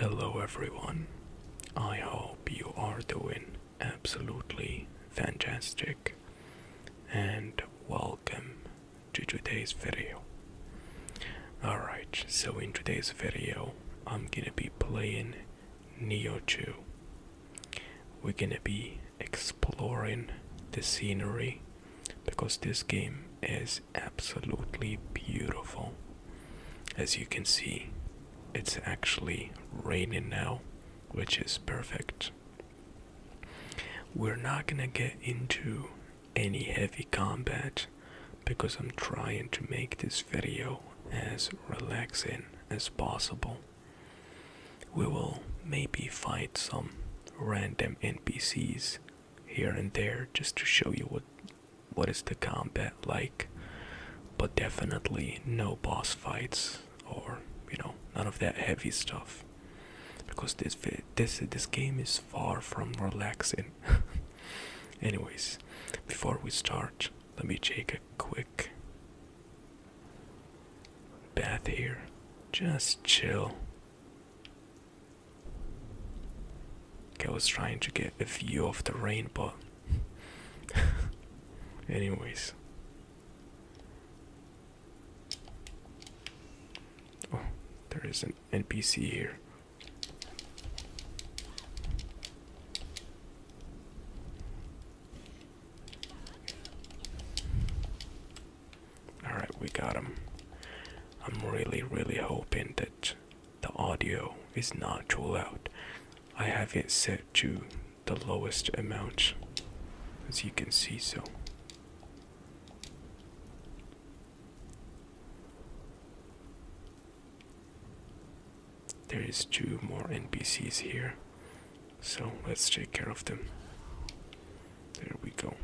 Hello everyone. I hope you are doing absolutely fantastic and welcome to today's video. Alright, so in today's video, I'm gonna be playing Neo 2. We're gonna be exploring the scenery because this game is absolutely beautiful. As you can see, it's actually raining now, which is perfect. We're not gonna get into any heavy combat because I'm trying to make this video as relaxing as possible. We will maybe fight some random NPCs here and there just to show you what what is the combat like but definitely no boss fights or you know none of that heavy stuff because this this this game is far from relaxing anyways before we start let me take a quick bath here just chill I was trying to get a view of the rain, but anyways. Oh, there is an NPC here. All right, we got him. I'm really, really hoping that the audio is not too loud. I have it set to the lowest amount, as you can see so. There is two more NPCs here, so let's take care of them. There we go.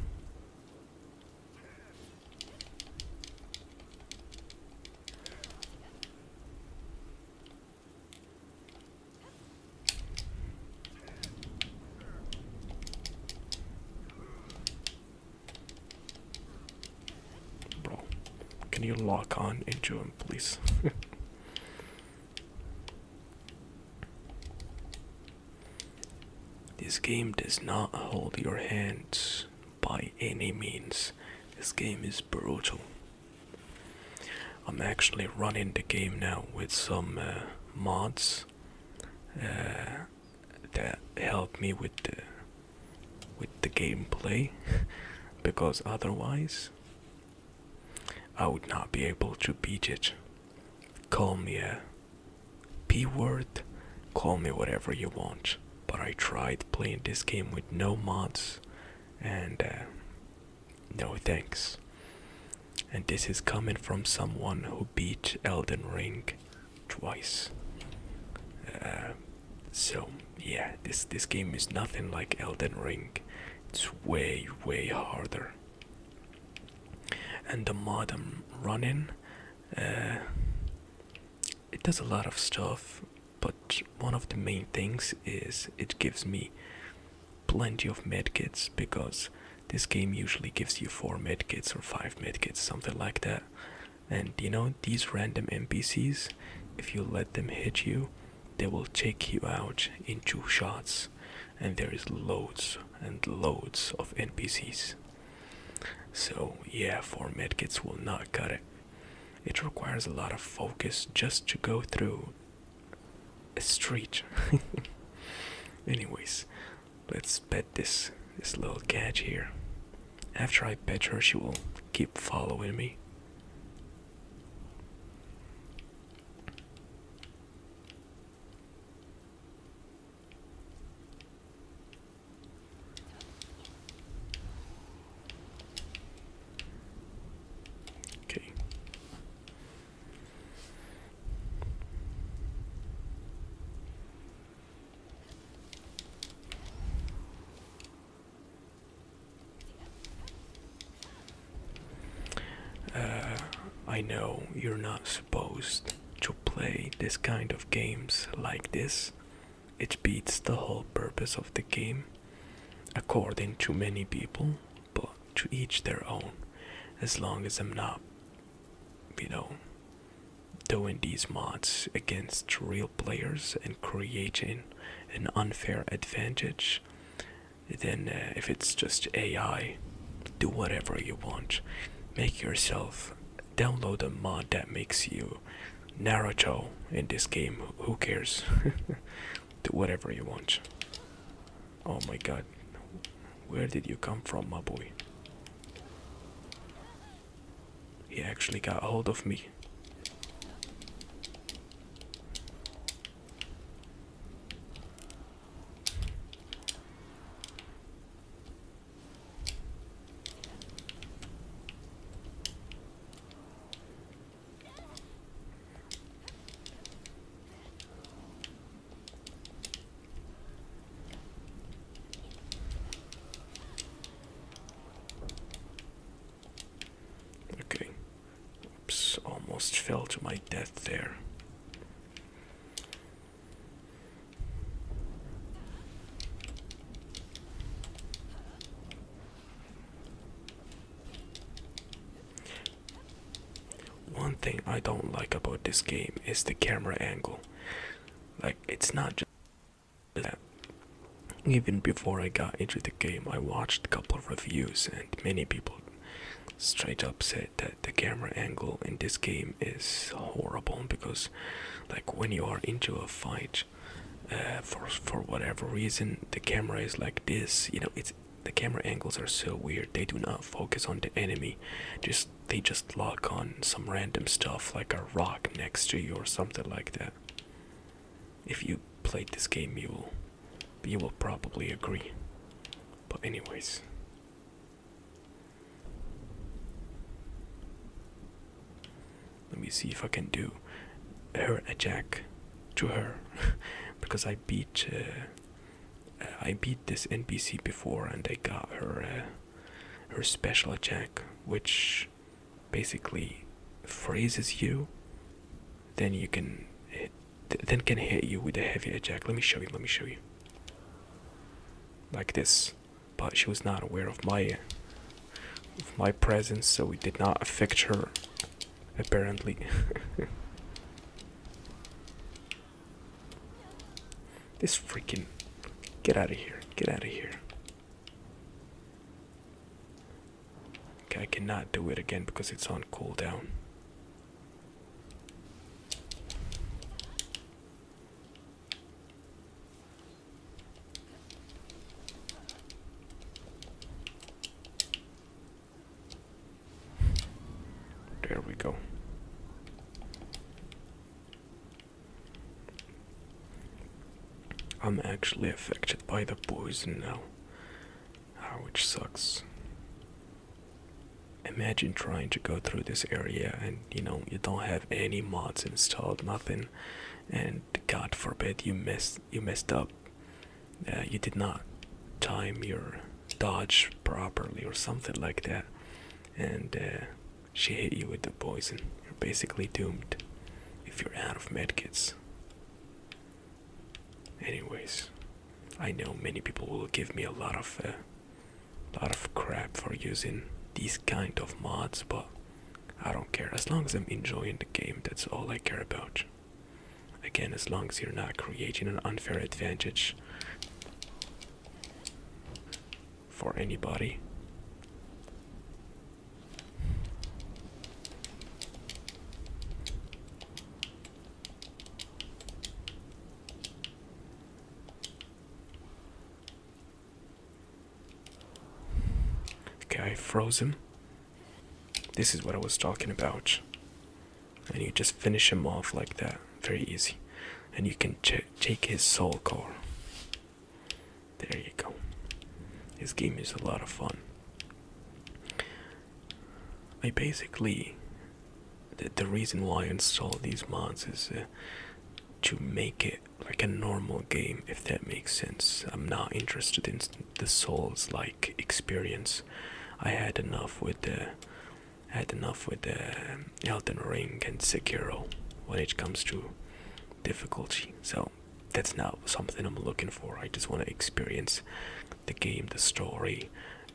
Bro, can you lock on and please? this game does not hold your hands by any means. This game is brutal. I'm actually running the game now with some uh, mods uh, that help me with the with the gameplay because otherwise I would not be able to beat it. Call me a P word, call me whatever you want, but I tried playing this game with no mods and uh, no thanks. And this is coming from someone who beat Elden Ring twice. Uh, so yeah, this this game is nothing like Elden Ring. It's way way harder. And the mod I'm running, uh, it does a lot of stuff, but one of the main things is it gives me plenty of medkits because this game usually gives you four medkits or five medkits, something like that. And you know, these random NPCs, if you let them hit you, they will take you out in two shots. And there is loads and loads of NPCs. So, yeah, four medkits will not cut it. It requires a lot of focus just to go through a street. Anyways, let's pet this this little cat here. After I pet her, she will keep following me. Okay. Uh, I know you're not supposed to play this kind of games like this, it beats the whole purpose of the game, according to many people, but to each their own. As long as I'm not, you know, doing these mods against real players and creating an unfair advantage, then uh, if it's just AI, do whatever you want. Make yourself download a mod that makes you Naruto in this game. Who cares? Do whatever you want. Oh my god. Where did you come from, my boy? He actually got hold of me. Okay. Oops, almost fell to my death there. One thing I don't like about this game is the camera angle. Like, it's not just that. Even before I got into the game, I watched a couple of reviews, and many people straight up said that the camera angle in this game is horrible because like when you are into a fight uh, for for whatever reason the camera is like this you know it's the camera angles are so weird they do not focus on the enemy just they just lock on some random stuff like a rock next to you or something like that if you played this game you will you will probably agree but anyways let me see if I can do her a jack to her because I beat uh, uh, I beat this NPC before and I got her uh, her special attack which basically freezes you then you can hit, then can hit you with a heavy attack let me show you let me show you like this but she was not aware of my of my presence, so it did not affect her apparently. this freaking get out of here, get out of here. Okay, I cannot do it again because it's on cooldown. There we go. I'm actually affected by the poison now, ah, which sucks. Imagine trying to go through this area and you know you don't have any mods installed, nothing, and God forbid you mess you messed up. Uh, you did not time your dodge properly or something like that, and uh, she hit you with the poison. You're basically doomed if you're out of medkits. Anyways, I know many people will give me a lot of uh, lot of crap for using these kind of mods, but I don't care. As long as I'm enjoying the game, that's all I care about. Again, as long as you're not creating an unfair advantage for anybody. Okay, I froze him. This is what I was talking about. And you just finish him off like that. Very easy. And you can take his soul core. There you go. This game is a lot of fun. I basically the, the reason why I install these mods is uh, to make it like a normal game, if that makes sense. I'm not interested in the Souls like experience. I had enough with the. had enough with the um, Elden Ring and Sekiro when it comes to difficulty. So that's not something I'm looking for. I just want to experience the game, the story,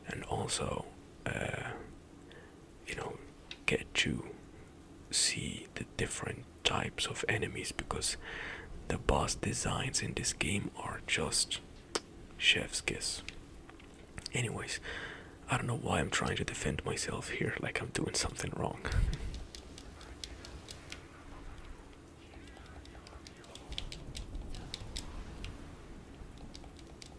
and also uh, you know get to see the different types of enemies because the boss designs in this game are just chef's kiss anyways i don't know why i'm trying to defend myself here like i'm doing something wrong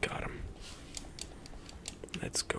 Got him. Let's go.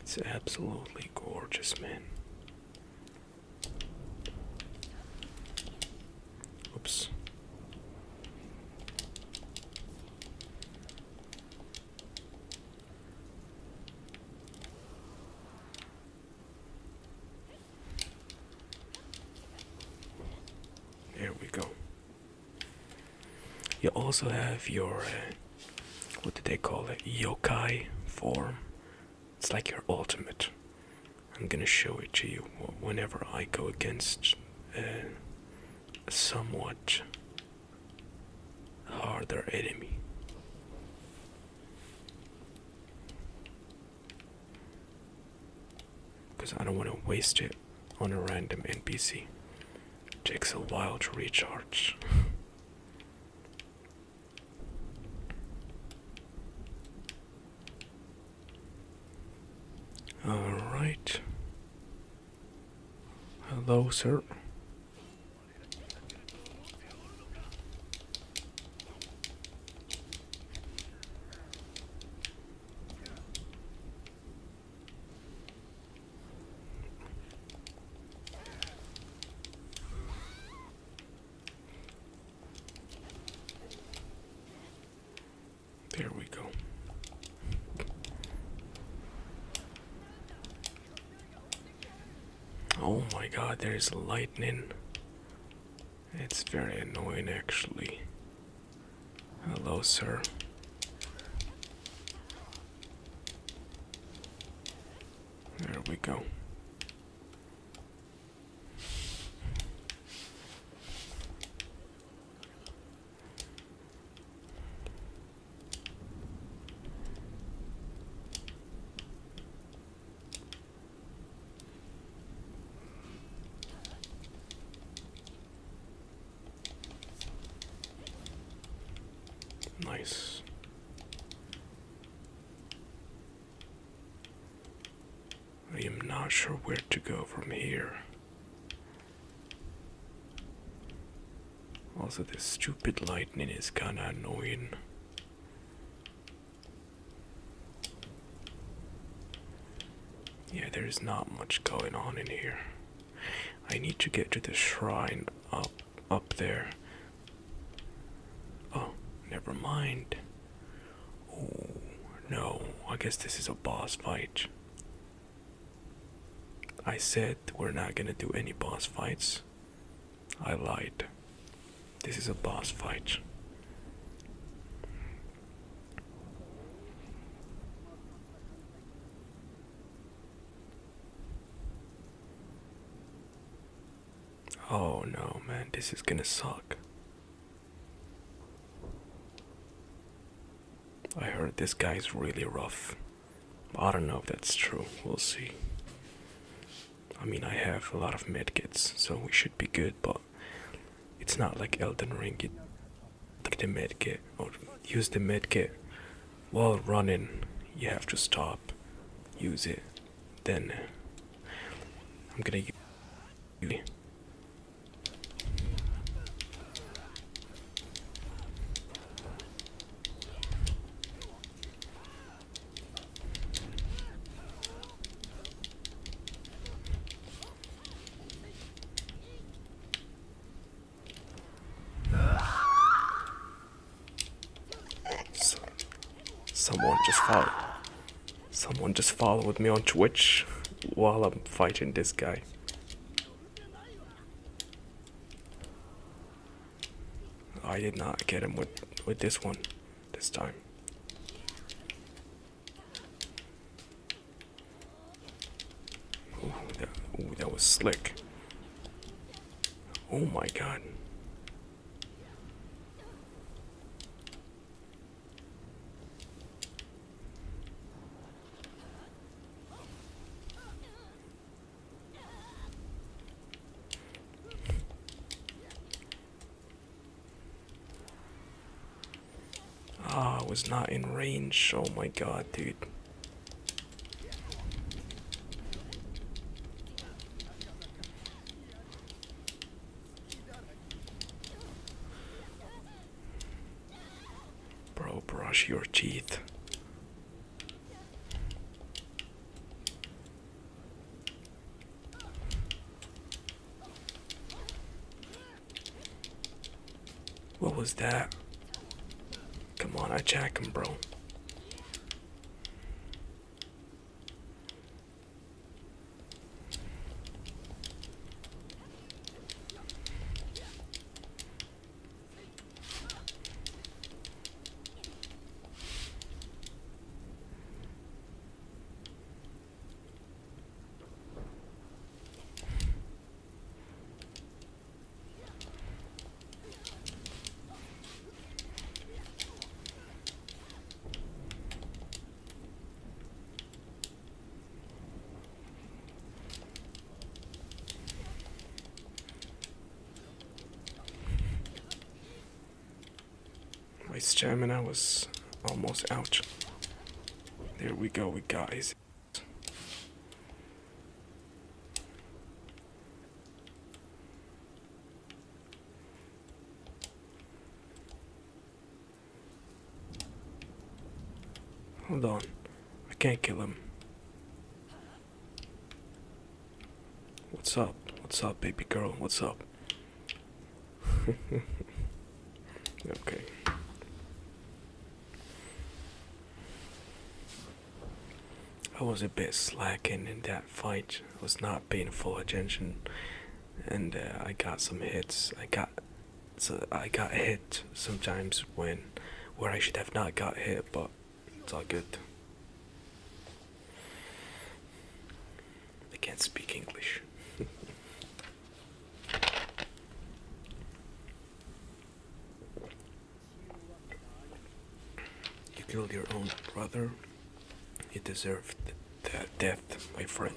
It's absolutely gorgeous, man. Oops. There we go. You also have your uh, what do they call it? Yokai form. It's like your ultimate. I'm gonna show it to you whenever I go against uh, a somewhat harder enemy. Because I don't want to waste it on a random NPC. Takes a while to recharge. All right. Hello, sir. There we go. Oh my god, there is lightning. It's very annoying actually. Hello, sir. There we go. Nice. I am not sure where to go from here. Also, this stupid lightning is kinda annoying. Yeah, there is not much going on in here. I need to get to the shrine up up there. Oh, never mind. Oh no, I guess this is a boss fight. I said we're not gonna do any boss fights. I lied. This is a boss fight. Oh no, man, this is gonna suck. I heard this guy's really rough. I don't know if that's true, we'll see. I mean, I have a lot of medkits, so we should be good, but it's not like Elden Ring, Take the med kit or oh, use the med kit while running you have to stop use it then i'm gonna use someone just followed. Someone just followed me on Twitch while I'm fighting this guy. I did not get him with with this one this time. Ooh, that, that was slick. Oh my god. Ah, I was not in range. Oh my god, dude. Bro, brush your teeth. What was that? Come on, I jack him, bro. My I was almost out. There we go, we guys. Hold on. I can't kill him. What's up? What's up, baby girl? What's up? okay. I was a bit slacking in that fight. I was not paying full attention, and uh, I got some hits. I got, so I got hit sometimes when, where I should have not got hit, but it's all good. I can't speak English. You killed your own brother. You deserved the death, my friend.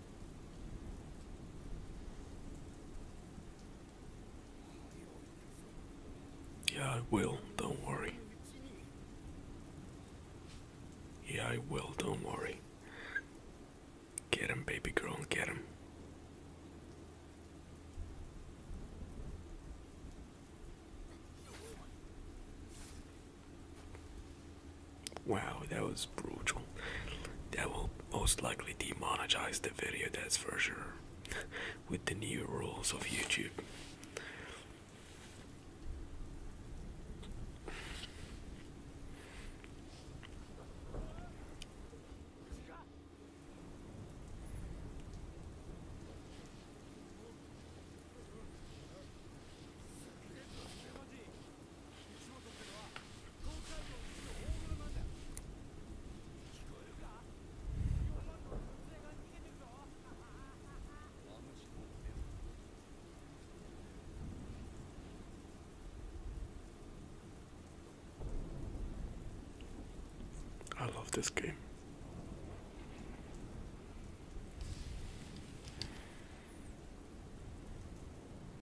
Yeah, I will. Don't worry. Yeah, I will. Don't worry. Get him, baby girl. Get him. Wow, that was brutal. That will most likely demonetize the video, that's for sure, with the new rules of YouTube. I love this game.